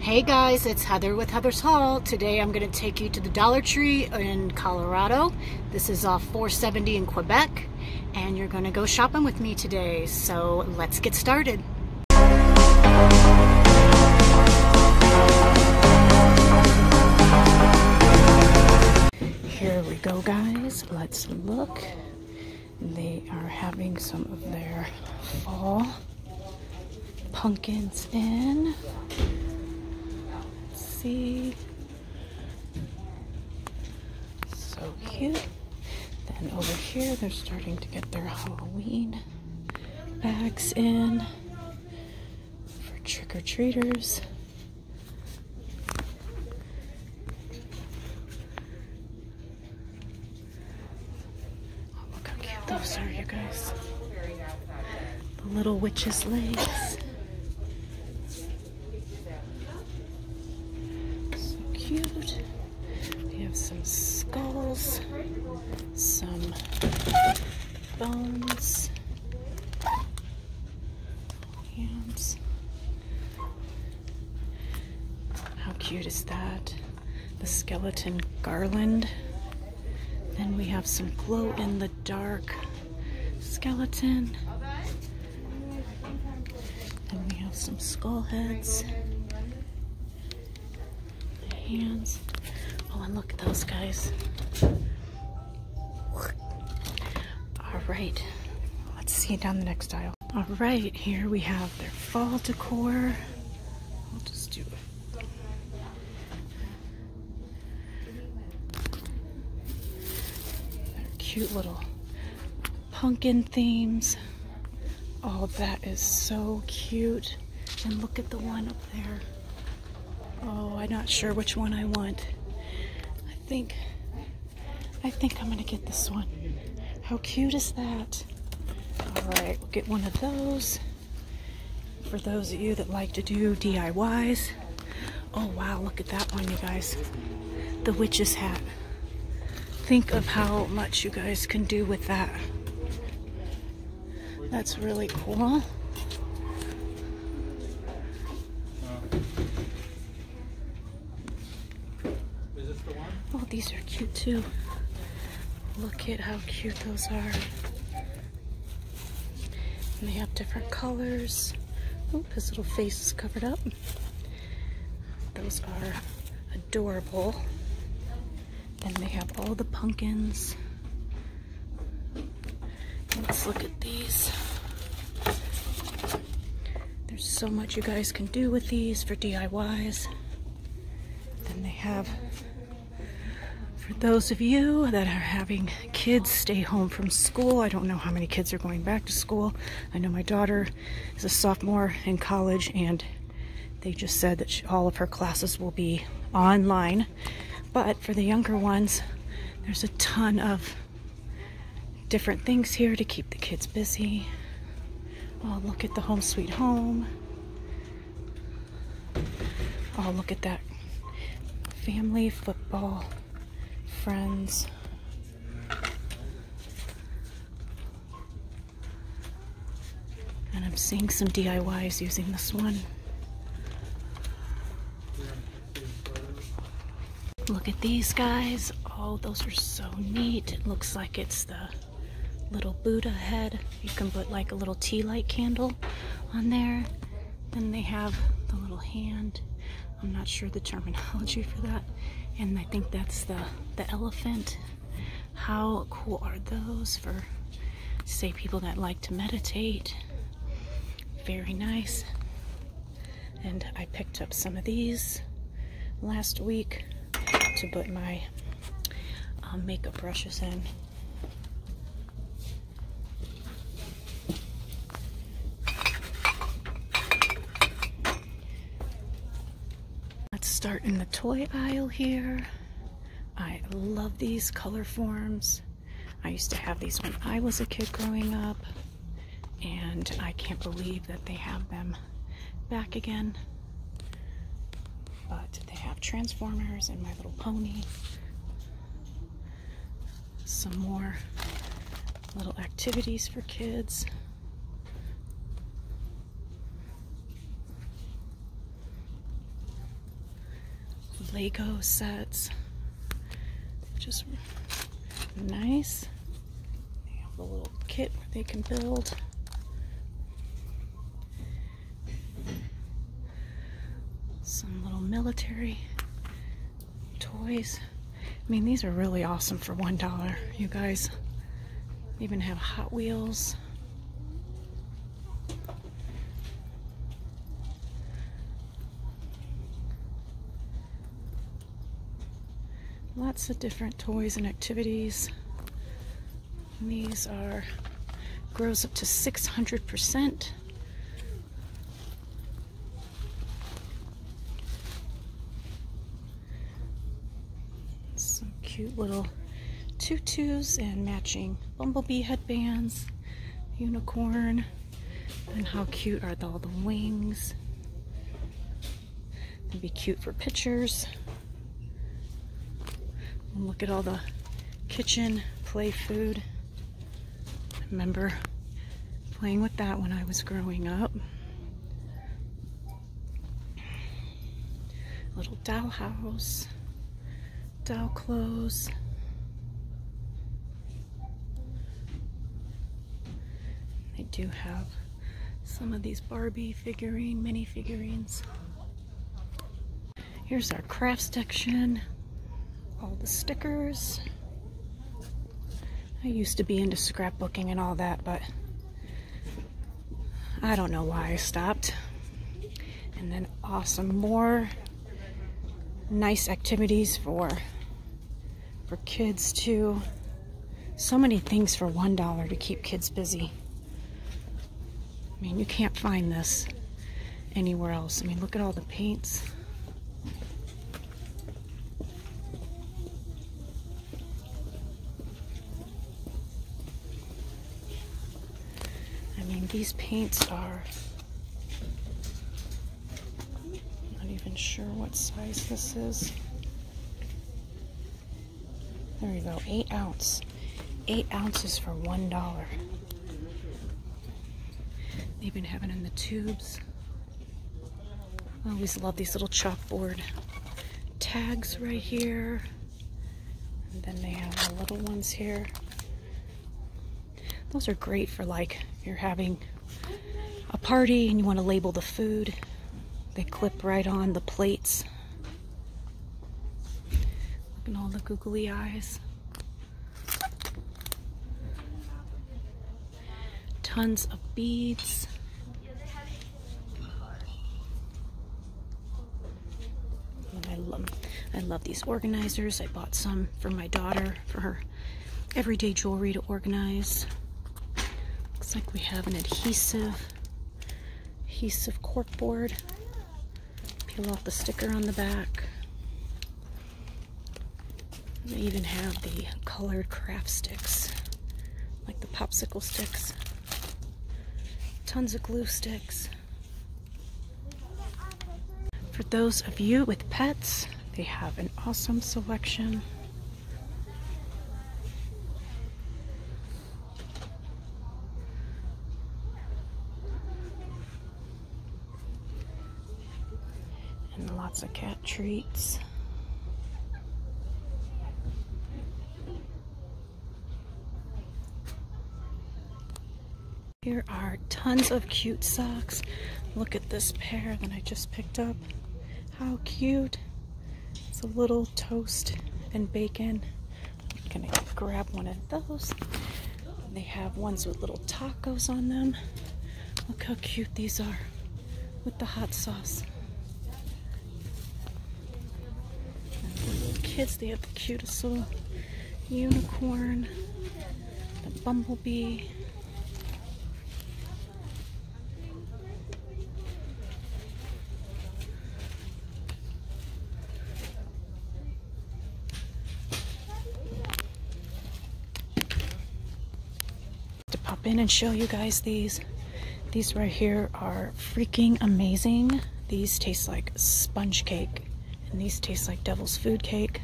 Hey guys, it's Heather with Heather's Hall. Today I'm going to take you to the Dollar Tree in Colorado. This is off 470 in Quebec, and you're going to go shopping with me today. So let's get started. Here we go, guys. Let's look. They are having some of their fall pumpkins in. Let's see. So cute. Then over here, they're starting to get their Halloween bags in for trick-or-treaters look how cute those are, you guys. The little witch's legs. So cute. We have some skulls, some bones, hands. How cute is that? the skeleton garland. Then we have some glow in the dark skeleton. Then we have some skull heads. hands. Oh, and look at those guys. All right, let's see down the next aisle. All right, here we have their fall decor. I'll just do cute little pumpkin themes. Oh, that is so cute. And look at the one up there. Oh, I'm not sure which one I want. I think, I think I'm gonna get this one. How cute is that? All right, we'll get one of those. For those of you that like to do DIYs. Oh wow, look at that one, you guys. The witch's hat. Think of how much you guys can do with that. That's really cool. Oh, these are cute too. Look at how cute those are. they have different colors. Oh, his little face is covered up. Those are adorable. Then they have all the pumpkins. Let's look at these. There's so much you guys can do with these for DIYs. Then they have, for those of you that are having kids stay home from school, I don't know how many kids are going back to school. I know my daughter is a sophomore in college and they just said that all of her classes will be online. But for the younger ones, there's a ton of different things here to keep the kids busy. Oh, look at the home sweet home. Oh, look at that. Family, football, friends. And I'm seeing some DIYs using this one. Look at these guys. Oh, those are so neat. looks like it's the little Buddha head. You can put like a little tea light candle on there. Then they have the little hand. I'm not sure the terminology for that. And I think that's the, the elephant. How cool are those for, say, people that like to meditate? Very nice. And I picked up some of these last week to put my um, makeup brushes in. Let's start in the toy aisle here. I love these color forms. I used to have these when I was a kid growing up and I can't believe that they have them back again. But they have Transformers and My Little Pony. Some more little activities for kids. Lego sets just nice. They have a little kit where they can build. Some little military toys. I mean, these are really awesome for $1, you guys. even have Hot Wheels. Lots of different toys and activities. And these are grows up to 600%. Some cute little tutus and matching bumblebee headbands, unicorn. And how cute are all the wings? they would be cute for pictures. look at all the kitchen play food. remember playing with that when I was growing up. A little dollhouse, doll clothes. They do have some of these Barbie figurine, mini figurines. Here's our craft section, all the stickers. I used to be into scrapbooking and all that, but I don't know why I stopped. And then awesome, more nice activities for for kids too. So many things for $1 to keep kids busy. I mean, you can't find this anywhere else. I mean, look at all the paints. I mean, these paints are not even sure what size this is. There you go, eight ounce. Eight ounces for one dollar. They've been having in the tubes. always love these little chalkboard tags right here. And then they have the little ones here. Those are great for like you're having a party and you want to label the food. They clip right on the plates. Look at all the googly eyes. Tons of beads. I love, I love these organizers. I bought some for my daughter for her everyday jewelry to organize. Looks like we have an adhesive, adhesive corkboard. Peel off the sticker on the back. They even have the colored craft sticks, like the popsicle sticks. Tons of glue sticks. For those of you with pets, they have an awesome selection. And lots of cat treats. Here are tons of cute socks. Look at this pair that I just picked up. How cute. It's a little toast and bacon. I'm gonna grab one of those. they have ones with little tacos on them. Look how cute these are with the hot sauce. the kids, they have the cutest little unicorn, the bumblebee. To pop in and show you guys these. These right here are freaking amazing. These taste like sponge cake. And these taste like devil's food cake.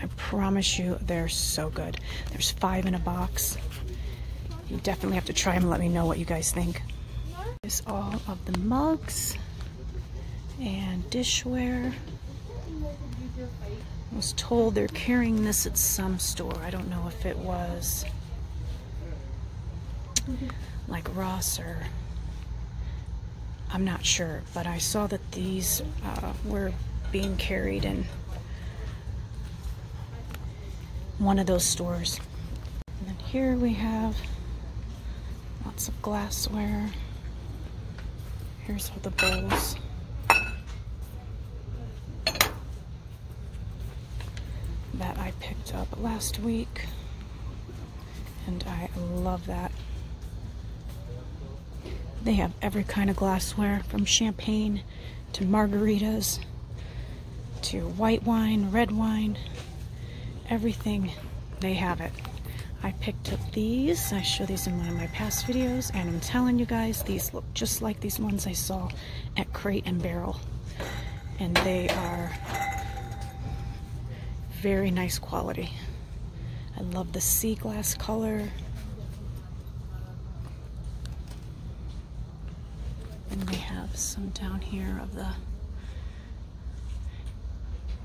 I promise you, they're so good. There's five in a box. You definitely have to try them and let me know what you guys think. There's all of the mugs and dishware. was told they're carrying this at some store. I don't know if it was like Ross or I'm not sure, but I saw that these uh, were being carried in one of those stores. And then here we have lots of glassware. Here's all the bowls. That I picked up last week and I love that. They have every kind of glassware from champagne to margaritas to white wine, red wine, everything they have it. I picked up these. I show these in one of my past videos and I'm telling you guys these look just like these ones I saw at Crate and Barrel and they are very nice quality. I love the sea glass color. And we have some down here of the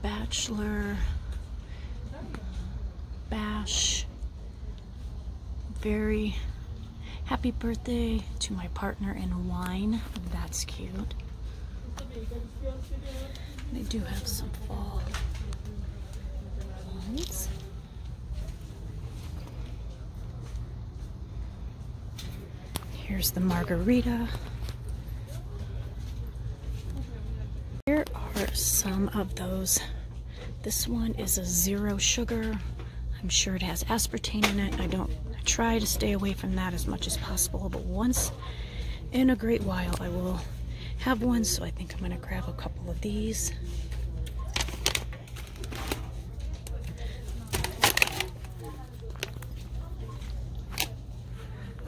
Bachelor Bash. Very happy birthday to my partner in wine. That's cute. They do have some all ones. Here's the margarita. Here are some of those. This one is a zero sugar. I'm sure it has aspartame in it. I don't I try to stay away from that as much as possible, but once in a great while I will have one, so I think I'm going to grab a couple of these.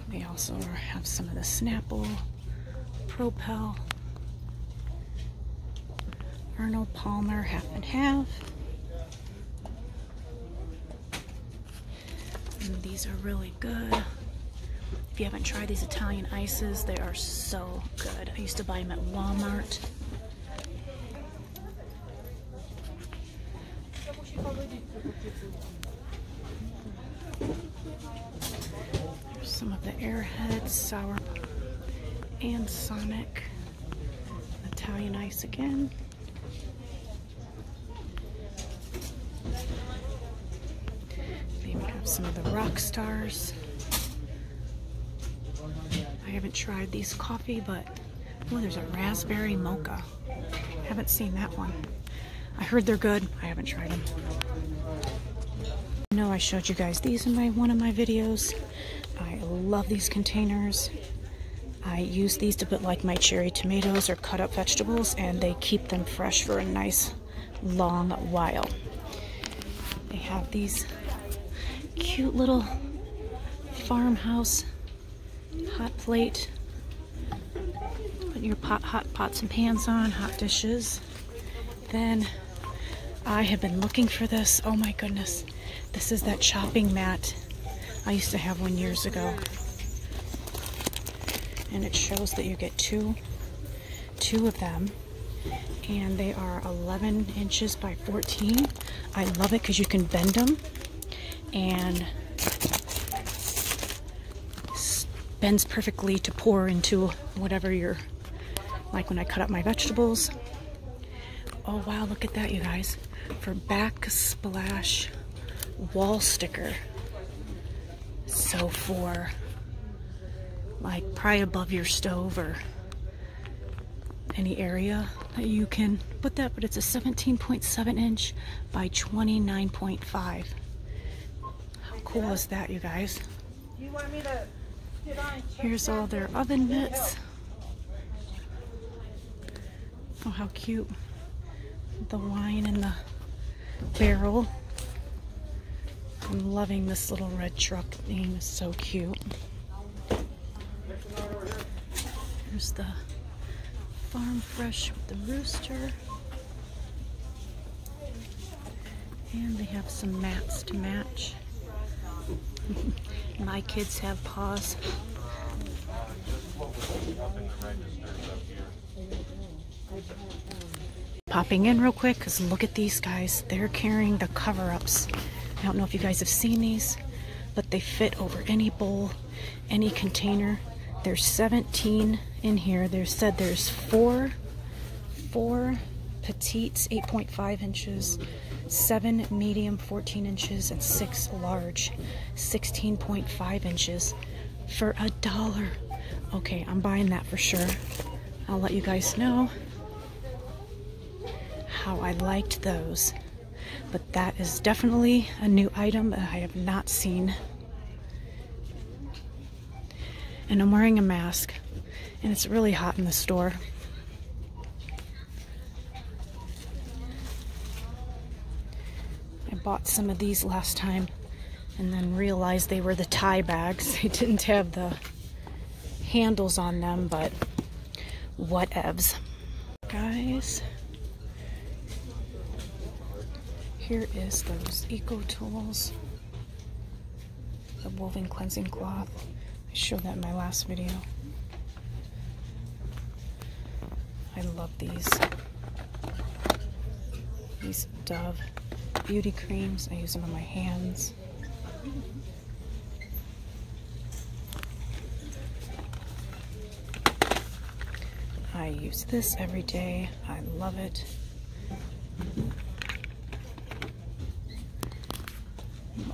They also have some of the Snapple, Propel, Arnold Palmer, half and half. Mm, these are really good. If you haven't tried these Italian ices, they are so good. I used to buy them at Walmart. There's some of the Airheads, Sour and Sonic. Italian ice again. Maybe have some of the rock stars. I haven't tried these coffee, but oh, there's a raspberry mocha. Haven't seen that one. I heard they're good. I haven't tried them. No, I showed you guys these in my one of my videos. I love these containers. I use these to put like my cherry tomatoes or cut up vegetables and they keep them fresh for a nice long while. They have these cute little farmhouse hot plate. Put your pot, hot pots and pans on, hot dishes. Then I have been looking for this, oh my goodness, this. is that shopping mat I used to have one years ago. And it shows that you get two, two of them. And they are 11 inches by 14. I love it because you can bend them and bends perfectly to pour into whatever you're, like when I cut up my vegetables, Oh wow, look at that you guys. For backsplash wall sticker. So for like probably above your stove or any area that you can put that, but it's a 17.7 inch by 29.5. How cool is that you guys? Here's all their oven mitts. Oh, how cute. The wine in the barrel. I'm loving this little red truck thing. is so cute. Here's the farm fresh with the rooster. And they have some mats to match. My kids have paws. Popping in real quick because look at these guys. They're carrying the cover-ups. I don't know if you guys have seen these, but they fit over any bowl, any container. There's 17 in here. They said there's four, four petites, 8.5 inches, seven medium 14 inches and six large 16.5 inches for a dollar okay i'm buying that for sure i'll let you guys know how i liked those but that is definitely a new item that i have not seen and i'm wearing a mask and it's really hot in the store. I bought some of these last time and then realized they were the tie bags. They didn't have the handles on them, but whatevs. Guys, here is those eco tools the woven cleansing cloth. I showed that in my last video. I love these. These Dove beauty creams. I use them on my hands. I use this every day. I love it.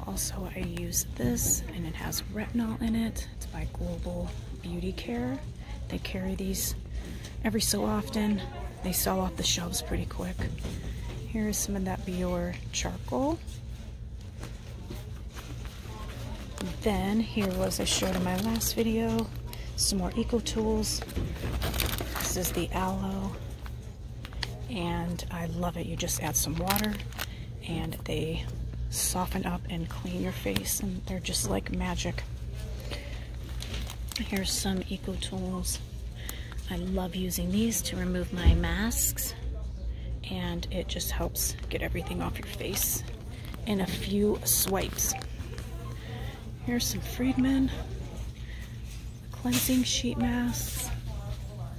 Also, I use this and it has retinol in it. It's by Global Beauty Care. They carry these every so often. They sell off the shelves pretty quick. Here is some of that Bior charcoal. Then here was I showed in my last video, some more eco tools. This is the aloe and I love it. You just add some water and they soften up and clean your face and they're just like magic. Here's some Eco Tools. I love using these to remove my masks and it just helps get everything off your face in a few swipes. Here's some Friedman cleansing sheet masks,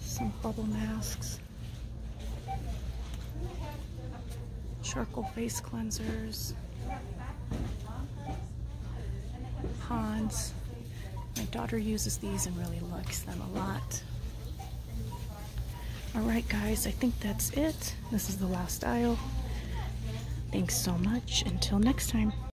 some bubble masks, charcoal face cleansers, Hans. My daughter uses these and really likes them a lot. Alright guys, I think that's it. This is the last aisle. Thanks so much. Until next time.